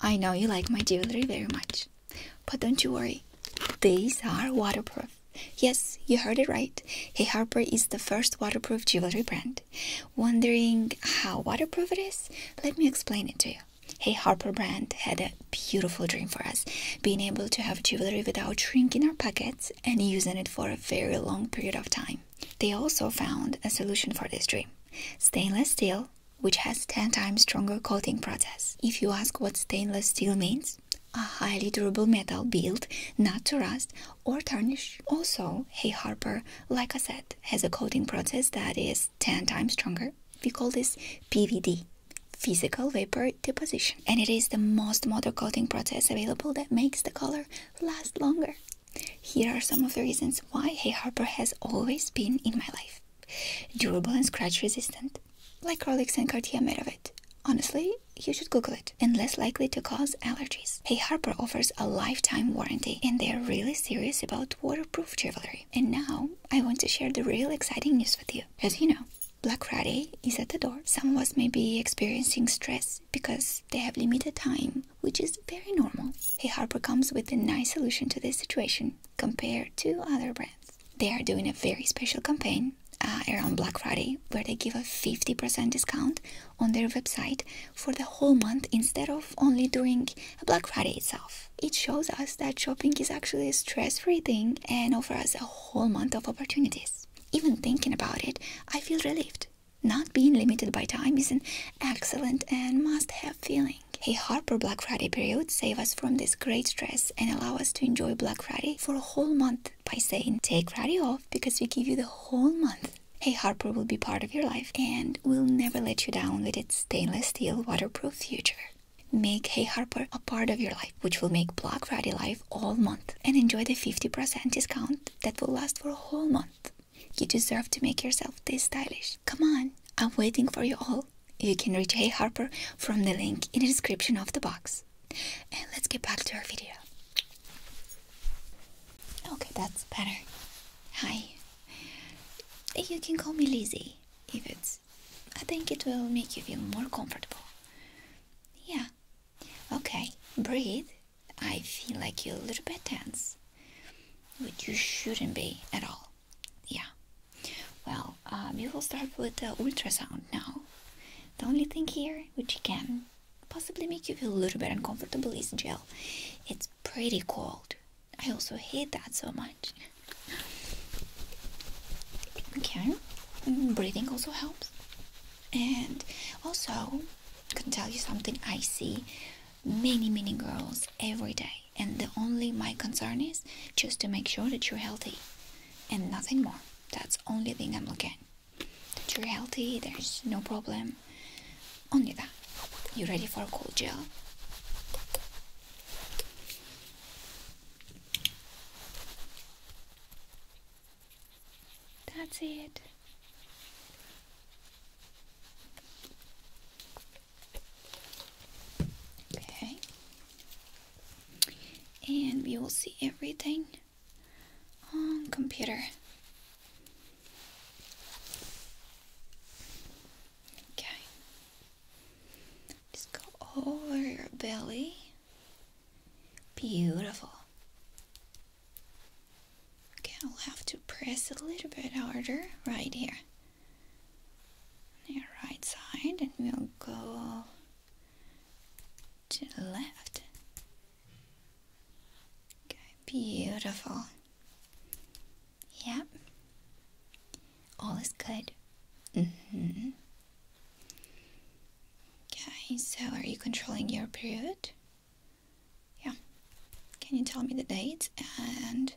I know you like my jewelry very much, but don't you worry, these are waterproof. Yes, you heard it right. Hey Harper is the first waterproof jewelry brand. Wondering how waterproof it is? Let me explain it to you. Hey Harper brand had a beautiful dream for us, being able to have jewelry without shrinking our pockets and using it for a very long period of time. They also found a solution for this dream. Stainless steel which has 10 times stronger coating process. If you ask what stainless steel means, a highly durable metal built not to rust or tarnish. Also, Hay Harper, like I said, has a coating process that is 10 times stronger. We call this PVD, physical vapor deposition. And it is the most modern coating process available that makes the color last longer. Here are some of the reasons why Hey Harper has always been in my life. Durable and scratch resistant, like Rolex and Cartier made of it. Honestly, you should Google it, and less likely to cause allergies. Hey Harper offers a lifetime warranty, and they're really serious about waterproof jewelry. And now, I want to share the real exciting news with you. As you know, Black Friday is at the door. Some of us may be experiencing stress because they have limited time which is very normal. Hey Harper comes with a nice solution to this situation compared to other brands. They are doing a very special campaign uh, around Black Friday where they give a 50% discount on their website for the whole month instead of only during Black Friday itself. It shows us that shopping is actually a stress-free thing and offers us a whole month of opportunities. Even thinking about it, I feel relieved. Not being limited by time is an excellent and must have feeling. Hey Harper Black Friday period, save us from this great stress and allow us to enjoy Black Friday for a whole month by saying take Friday off because we give you the whole month. Hey Harper will be part of your life and will never let you down with its stainless steel waterproof future. Make Hey Harper a part of your life, which will make Black Friday life all month and enjoy the 50% discount that will last for a whole month. You deserve to make yourself this stylish. Come on, I'm waiting for you all. You can reach Hey Harper from the link in the description of the box. And let's get back to our video. Okay, that's better. Hi. You can call me Lizzie if it's. I think it will make you feel more comfortable. Yeah. Okay, breathe. I feel like you're a little bit tense which you shouldn't be at all. Yeah. Well, we um, will start with the ultrasound now. The only thing here which can possibly make you feel a little bit uncomfortable is gel. It's pretty cold. I also hate that so much. Okay, mm, breathing also helps. And also, I can tell you something I see many many girls every day and the only my concern is just to make sure that you're healthy and nothing more that's only thing i'm looking that you're healthy there's no problem only that you ready for a cold gel that's it Okay. And we will see everything on computer. Okay. Just go over your belly. Beautiful. Okay, I'll have to press a little bit harder right here. On your right side, and we'll go to the left. Okay, beautiful. Yep. All is good. Mm-hmm. Okay, so are you controlling your period? yeah can you tell me the date and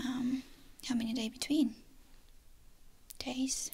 um, how many day between days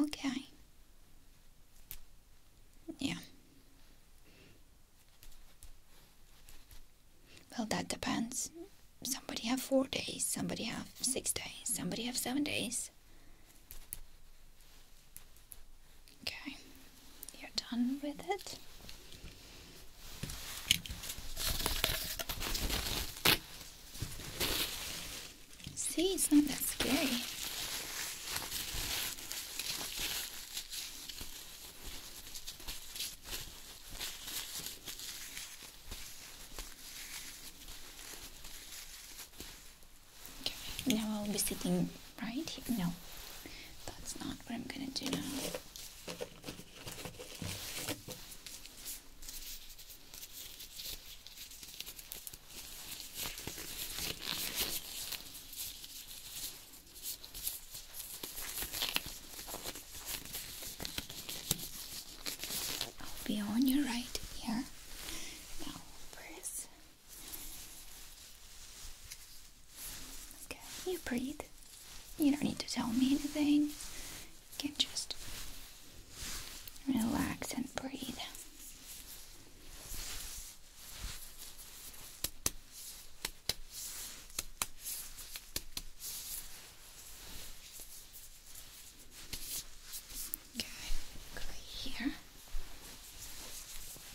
okay yeah well that depends somebody have four days somebody have six days somebody have seven days Okay, you're done with it. See, it's not that scary. Okay, now I'll be sitting right here. No, that's not what I'm gonna do now. I'll be on your right here. Now, where is Okay, you breathe. You don't need to tell me anything. You can just relax and breathe. Okay, here.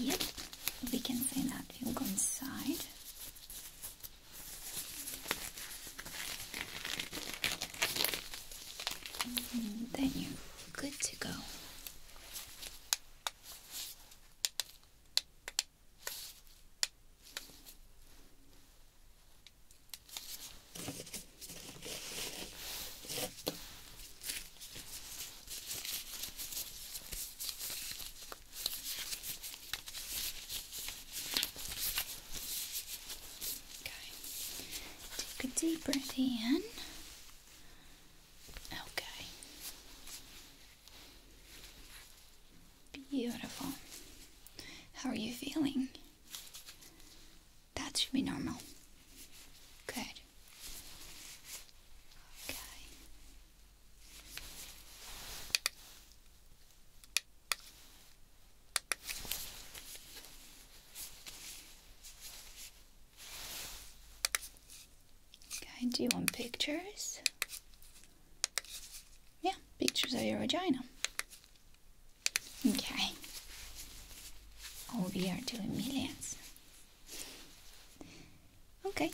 Yep, we can say that. You will go inside. then you're good to go. Take a deep breath in. Okay. Beautiful. How are you feeling? That should be normal. Good. Okay. Okay, do you want pictures? Yeah, pictures of your vagina. Okay. Oh, we are doing millions. Okay.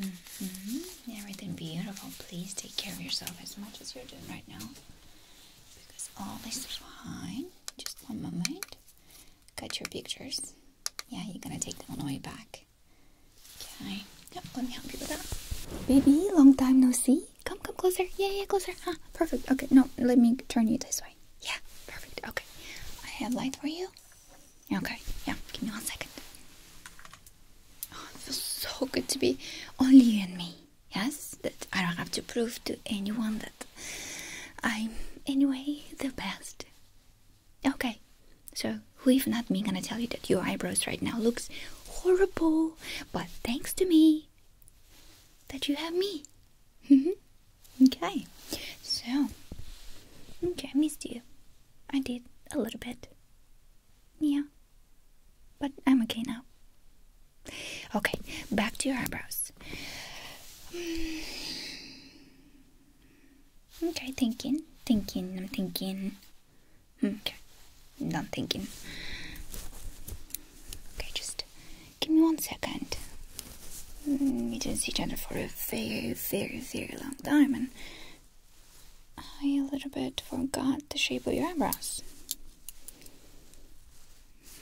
Mm-hmm. Everything beautiful. Please take care of yourself as much as you're doing right now. Because all is fine. Just one moment. Cut your pictures. Yeah, you're gonna take them on the way back. Okay. Yep, let me help you with that. Baby, long time no see. Come, come closer. Yeah, yeah, closer. Huh? Ah, perfect. Okay, no, let me turn you this way. Yeah, perfect. Okay, I have light for you. Okay, yeah. Give me one second. Oh, it feels so good to be only you and me. Yes, that I don't have to prove to anyone that I'm anyway the best. Okay, so who if not me gonna tell you that your eyebrows right now looks horrible, but thanks to me that you have me. Mm-hmm. okay, so okay, I missed you. I did a little bit. Yeah, but I'm okay now. Okay, back to your eyebrows. Mm. Okay, thinking, thinking, I'm thinking. Mm, okay, not thinking. Okay, just give me one second. We mm, didn't see each other for a very, very, very long time, and I a little bit forgot the shape of your eyebrows.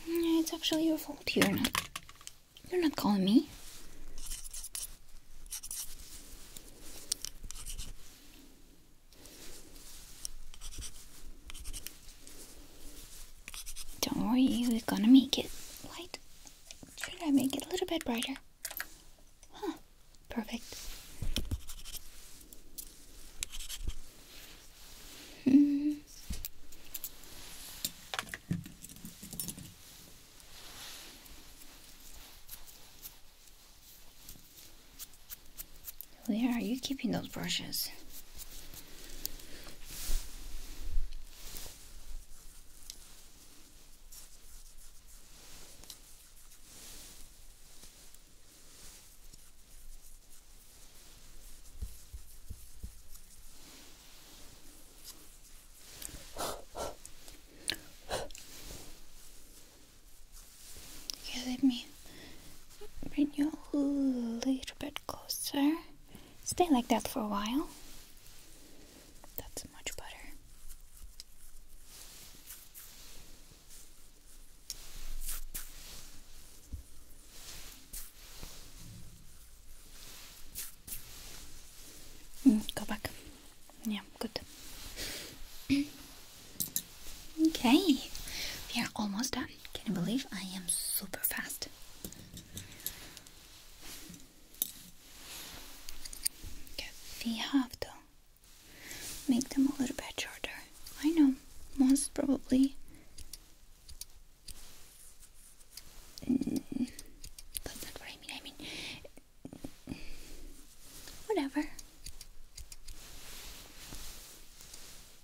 It's actually your fault. You're not. You're not calling me. Don't worry, we're gonna make it light. Should I make it a little bit brighter? Huh, perfect. Hmm. Where are you keeping those brushes? Yeah, let me bring you a little bit closer. Stay like that for a while. That's much better. Mm, go back. Yeah, good. Okay, we are almost done. Can you believe I am super fast? we have to make them a little bit shorter. I know, most probably. Mm, that's not what I mean. I mean, whatever.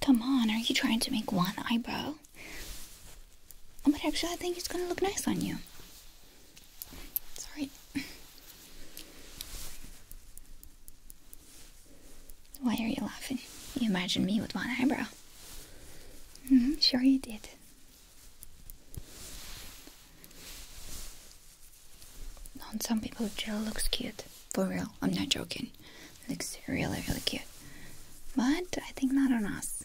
Come on, are you trying to make one eyebrow? But oh actually, I think it's gonna look nice on you. Sorry. Why are you laughing? You imagined me with one eyebrow. Mm-hmm, sure you did. On some people, gel looks cute. For real, I'm not joking. looks really, really cute. But I think not on us.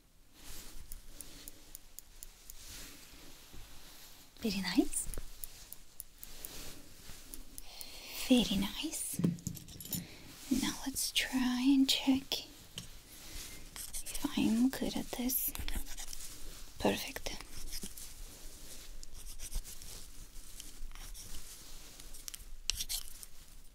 Very nice. Very nice. Now let's try and check if I'm good at this. Perfect.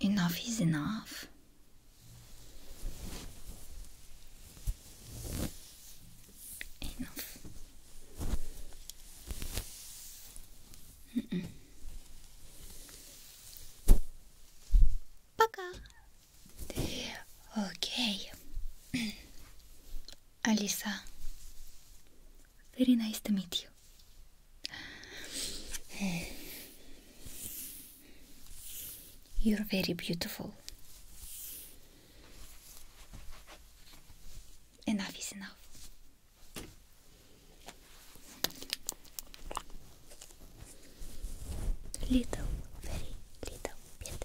Enough is enough. Enough. Mm -mm. Пока. Окей. Алиса, very nice to meet you. You're very beautiful. Enough is enough. Little, very little bit.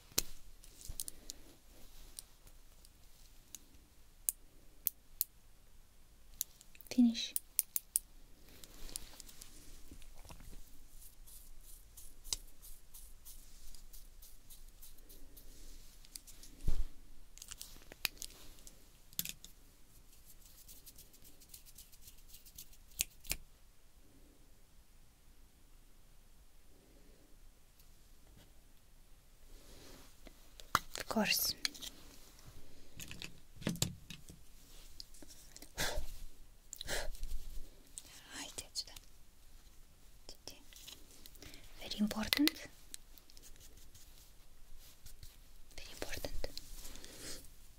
Finish. Of course. Right, ah, very important. Very important.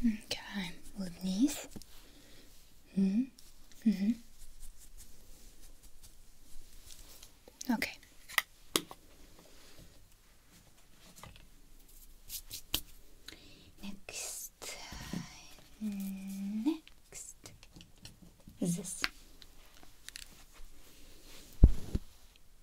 Okay, улыбнись. Mm -hmm. Okay. Next, next, this.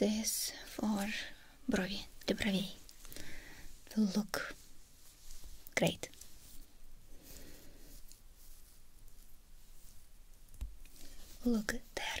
This for брови, the бровей. Will look great. Look at that.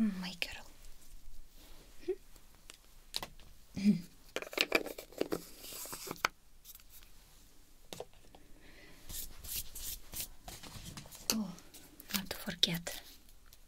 Oh my oh, not to forget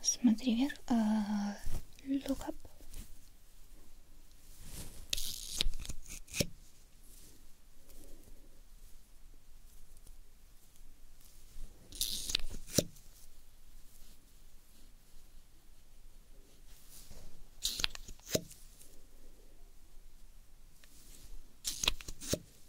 Смотри вверх. Uh, look up.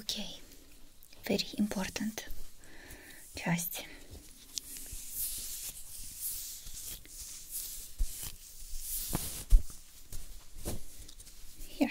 Okay, very important часть. Here.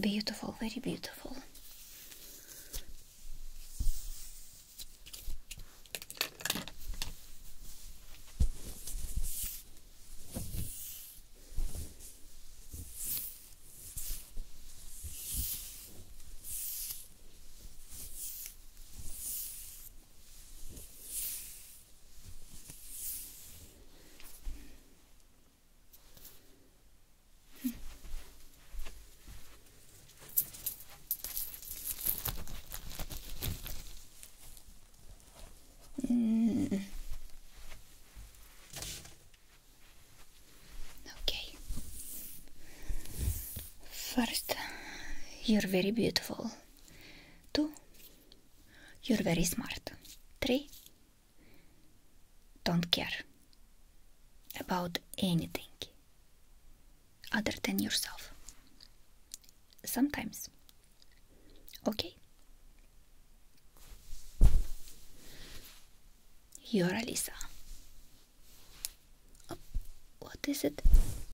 Beautiful, very beautiful. Hmm. Okay. First, you're very beautiful. Two, you're very smart. Three, don't care about anything other than yourself. Sometimes. Okay? You're Alisa. what is it?